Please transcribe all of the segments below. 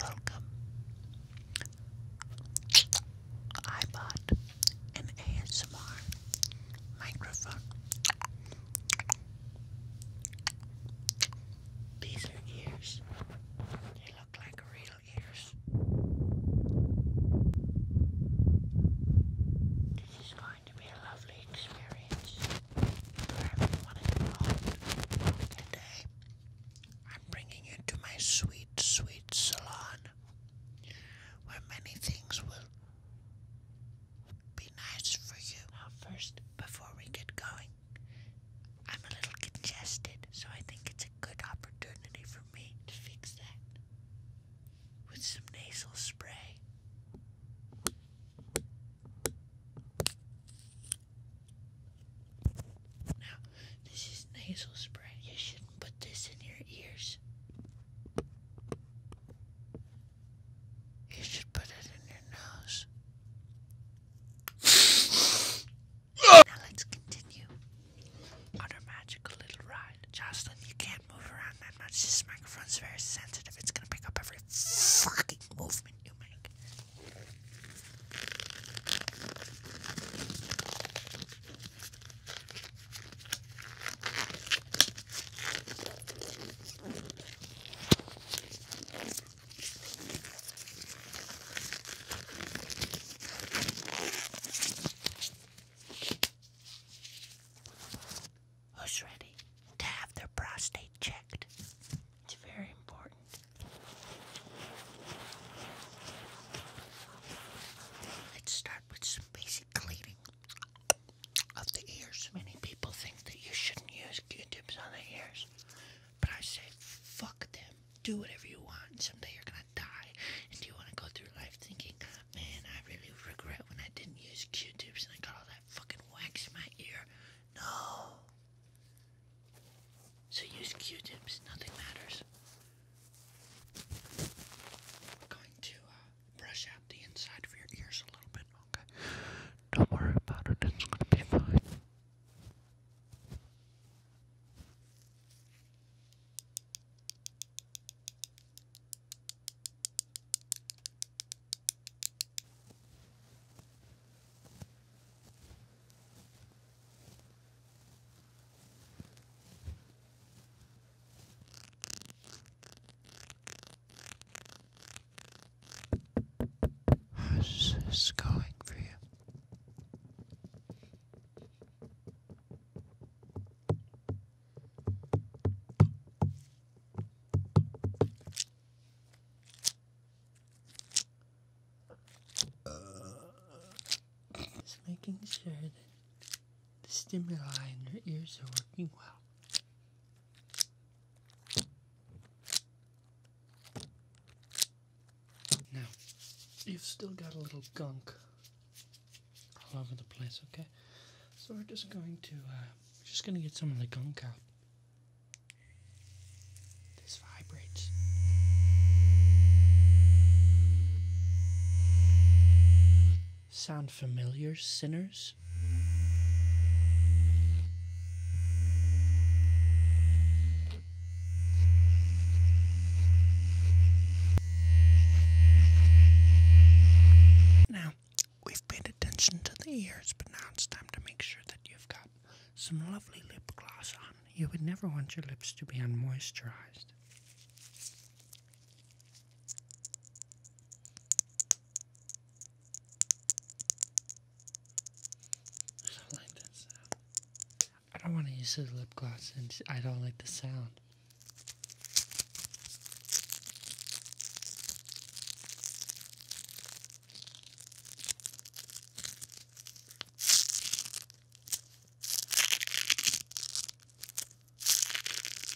Welcome. I bought an ASMR microphone. These are ears. They look like real ears going to be a lovely experience for everyone involved today. I'm bringing you to my sweet, sweet salon where many things will be nice for you. Now, first, before we get going, I'm a little congested, so I think it's a good opportunity for me to fix that with some nasal spray. Now, this is nasal spray. You shouldn't put this in your ears. You should put it in your nose. now let's continue on our magical little ride. Jocelyn, you can't can't move around that much. This microphone's very sensitive. It's gonna pick up every fucking movement you make who's ready to have their prostate checked. It's very important. Let's start with some basic cleaning of the ears. Many people think that you shouldn't use Q-tips on the ears, but I say fuck them. Do whatever you want. Someday you're gonna die, and you want to go through life thinking, man, I really regret when I didn't use Q-tips and I got all that fucking wax my ear. No. So use Q-tips. Nothing matters. We're going to uh, brush out the inside of your ears a little bit, okay? Don't worry about it. It's going to be fine. How's this going for you? Uh, just making sure that the stimuli in your ears are working well. Now, you've still got a little gunk all over the place, okay? So we're just going to, uh, we're just going to get some of the gunk out. This vibrates. Sound familiar, sinners? Now, We've paid attention to the ears, but now it's time to make sure that you've got some lovely lip gloss on. You would never want your lips to be unmoisturized. So I like that sound. I don't want to use the lip gloss and I don't like the sound.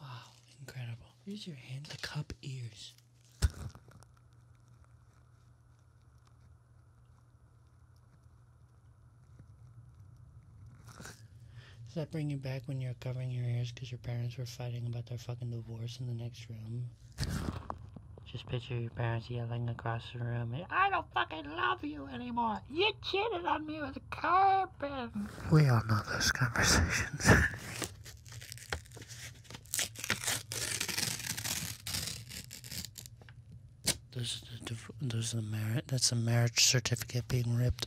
Wow, incredible. Use your hand to cup ears. Does that bring you back when you are covering your ears because your parents were fighting about their fucking divorce in the next room. Just picture your parents yelling across the room, I don't fucking love you anymore. You cheated on me with a Carmen. We all know those conversations. there's the, the marriage, that's a marriage certificate being ripped.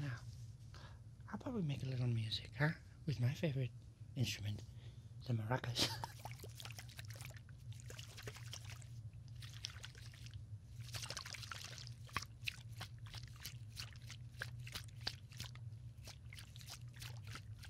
Now, I'll probably make a little music, huh? With my favorite instrument, the maracas.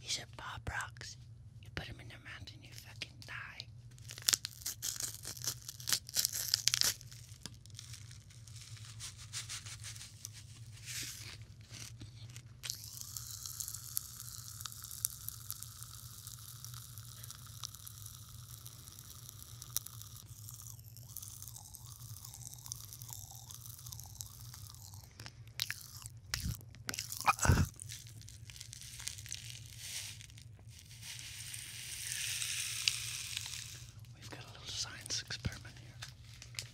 These are Bob Rocks. You put them in their mouth and you fucking die. We've got a little science experiment here.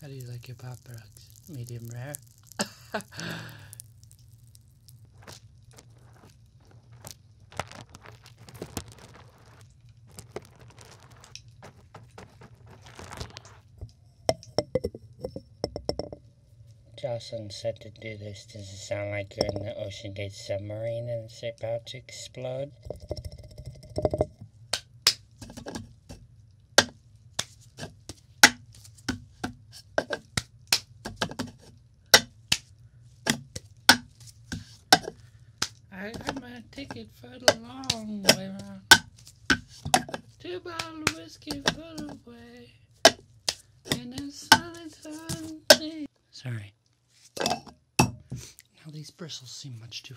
How do you like your pop rocks? Medium rare? Jason said to do this. Does it sound like you're in the Ocean Gate submarine and it's about to explode? I got my ticket for the long way round. Two bottle of whiskey put away. And a solid Sorry. Now these bristles seem much too...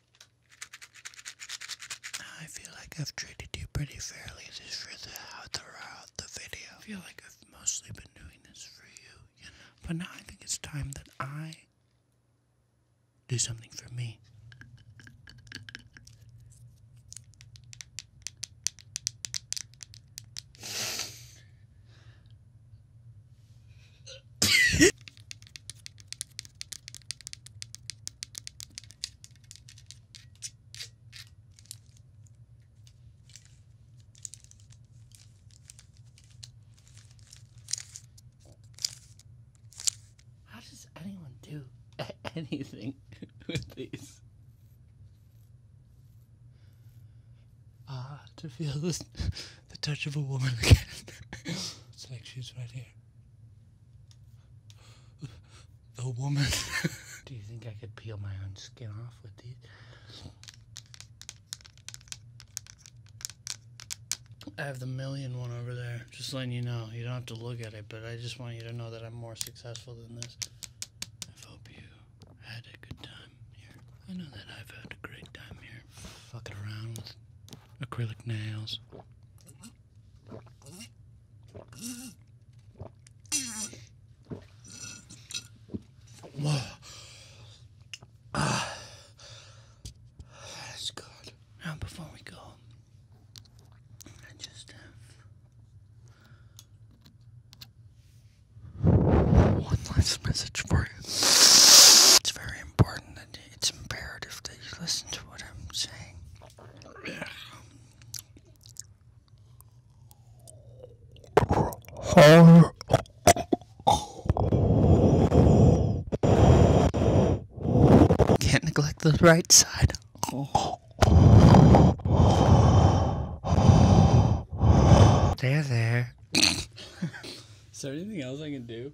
I feel like I've treated you pretty fairly this for the, throughout the video. I feel like I've mostly been doing this for you, But now I think it's time that I do something for me. How does anyone do anything with these? Ah, to feel this, the touch of a woman again. it's like she's right here. The woman. Do you think I could peel my own skin off with these? I have the million one over there. Just letting you know. You don't have to look at it, but I just want you to know that I'm more successful than this. I hope you had a good time here. I know that I've had a great time here. Fucking around with acrylic nails. Ah, that's good. Now, before we go, I just have one last message for you. It's very important that it's imperative that you listen to what I'm saying. Horror. Can't neglect the right side. There, there. Is there anything else I can do?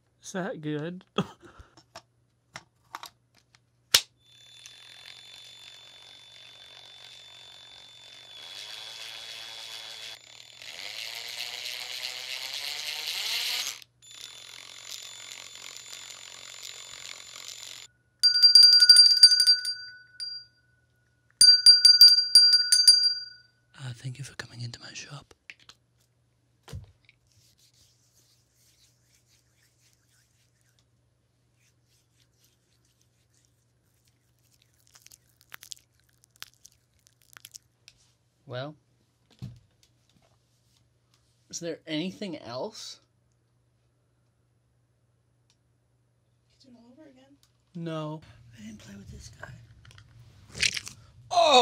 Is that good? Uh, thank you for coming into my shop. Well, is there anything else? No. I didn't play with this guy. Oh!